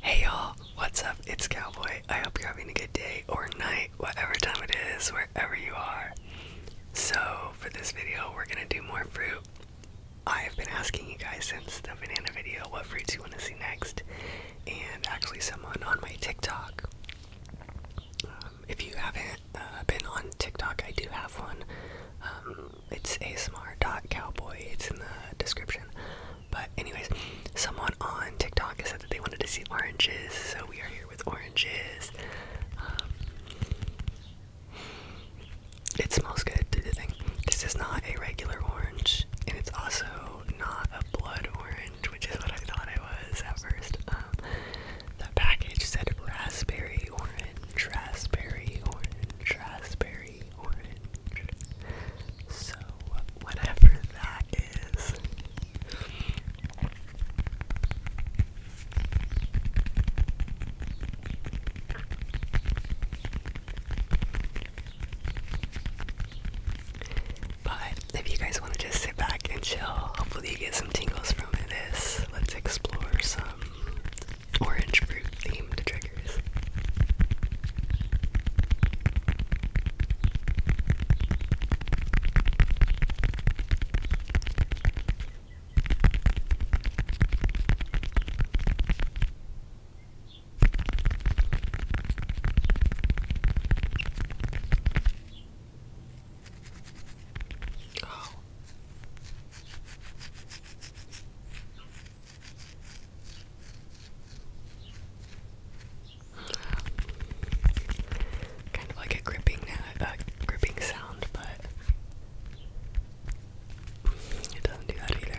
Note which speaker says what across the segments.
Speaker 1: Hey y'all, what's up? It's Cowboy. I hope you're having a good day or night, whatever time it is, wherever you are. So, for this video, we're gonna do more fruit. I have been asking you guys since the banana video what fruits you want to see next, and actually, someone on my TikTok. Um, if you haven't uh, been on TikTok, I do have one. Um, it's asmr.cowboy, it's in the description. But anyways, someone on TikTok said that they wanted to see oranges, so we are here with oranges. Um, it smells good. This is not a regular orange, and it's also not a blood orange, which is what I thought it was at first. Um, the package said raspberry orange, raspberry orange, raspberry so, whatever that is. But if you guys want to just sit back and chill, hopefully you get some tingles from this. Let's explore some orange fruit themed triggers. Oh. Kind of like a gripping, uh, uh, gripping sound, but it doesn't do that either.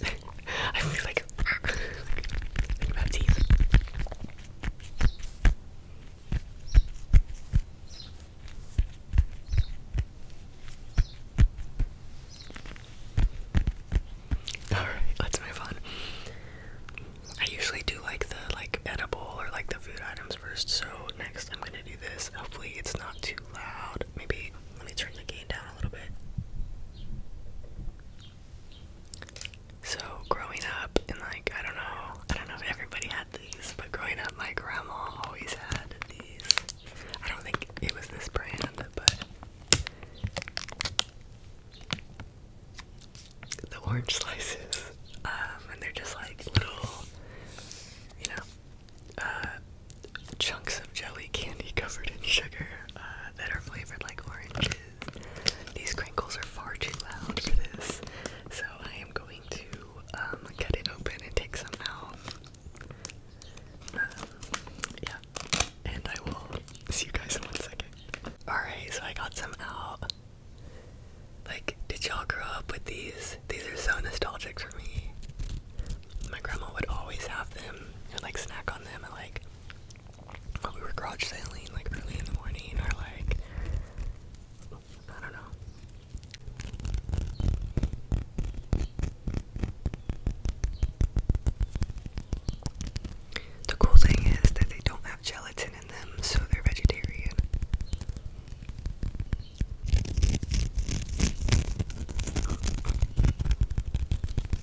Speaker 1: I feel like, like teeth. All right, let's move on. I usually do like the like edible or like the food items first. So next, I'm gonna do this. Hopefully, it's not too loud. Maybe let me turn the gain down a little bit. So growing up and like I don't know I don't know if everybody had these, but growing up my grandma always had these. I don't think it was this brand, but the orange slices. Um and they're just like little you know uh chunks of jelly candy covered in sugar uh, that are flavored like oranges. These crinkles are far too loud for this, so I am going to um, cut it open and take some out. Um, yeah, and I will see you guys in one second. Alright, so I got some out. Like, did y'all grow up with these? These are so nostalgic for me my grandma would always have them and like snack on them at like when we were garage sailing like early in the morning or like I don't know. The cool thing is that they don't have gelatin in them, so they're vegetarian.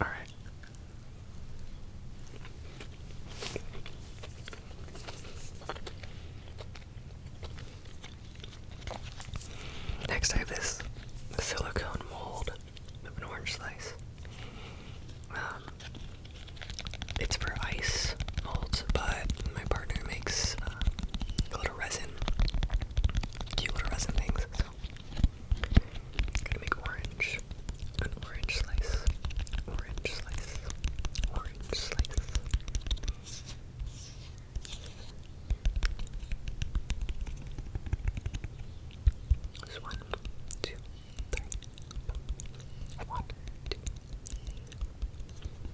Speaker 1: All right. Next, I have this silicone mold of an orange slice. Um, it's for ice molds, but my partner makes uh, little resin, cute little resin things. So, gonna make orange, orange slice, orange slice, orange slice. Just one, two, three, one, two.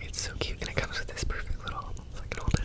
Speaker 1: It's so cute, and it comes with this perfect little I can hold it.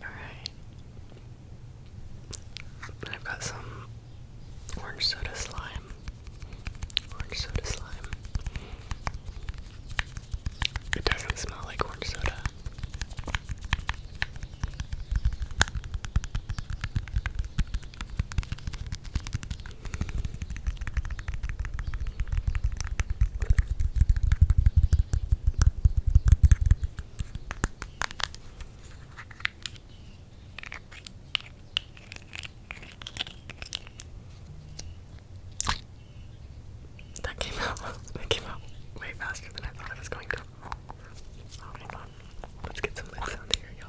Speaker 1: Alright. I've got some orange soda slime. Orange soda slime. It doesn't smell like orange soda. That came out. That came out way faster than I thought it was going to. Oh Let's get some lid sound here, y'all.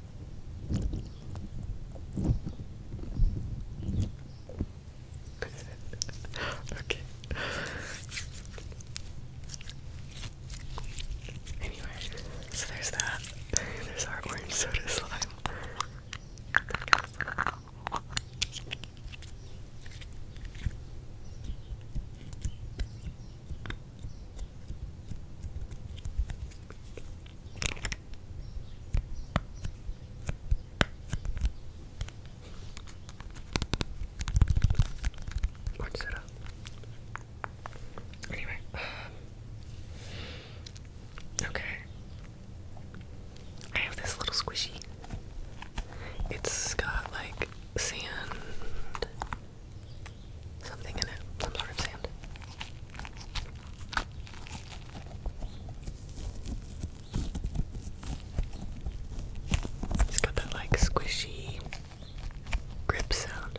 Speaker 1: okay. Anyway, so there's that. There's our orange soda slime. What's um, okay. I have this little squishy. It's got like sand, something in it, some sort of sand. It's got that like squishy grip sound.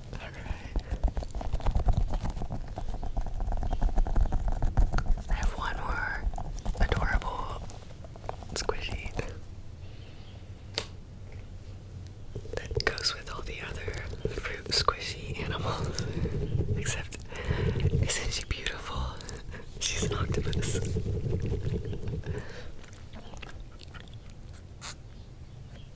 Speaker 1: I have one more adorable squishy that goes with all the other fruit squishy animals. Except, isn't she beautiful? She's an octopus.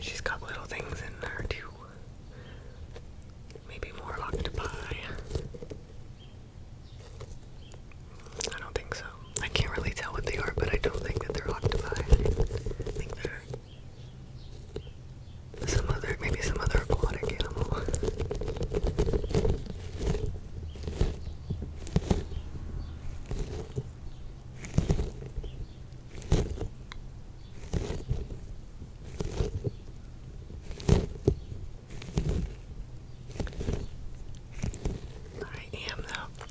Speaker 1: She's got little things in there too. Maybe more octopi. I don't think so. I can't really tell what they are, but I don't think that they're octopi. I think they're some other, maybe some other aquatic animal. I am though.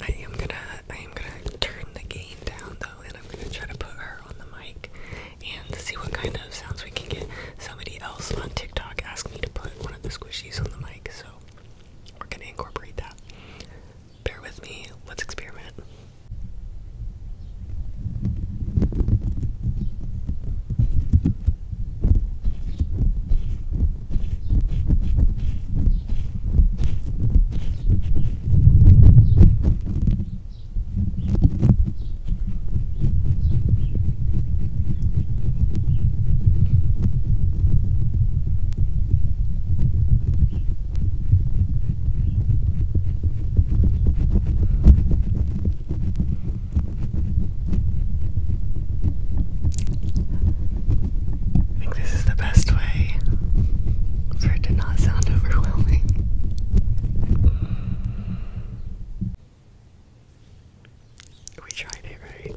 Speaker 1: I am gonna I am gonna turn the gain down though and I'm gonna try to put her on the mic and see what kind of sounds we can get. Somebody else on TikTok asked me to put one of the squishies on the mic, so we're gonna incorporate that. Bear with me, let's experiment. I think this is the best way for it to not sound overwhelming. We tried it, right?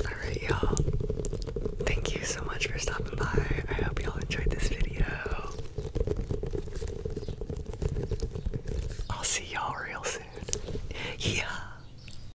Speaker 1: Alright, y'all. Thank you so much for stopping by. I hope y'all enjoyed this video. I'll see y'all real soon. Yeah.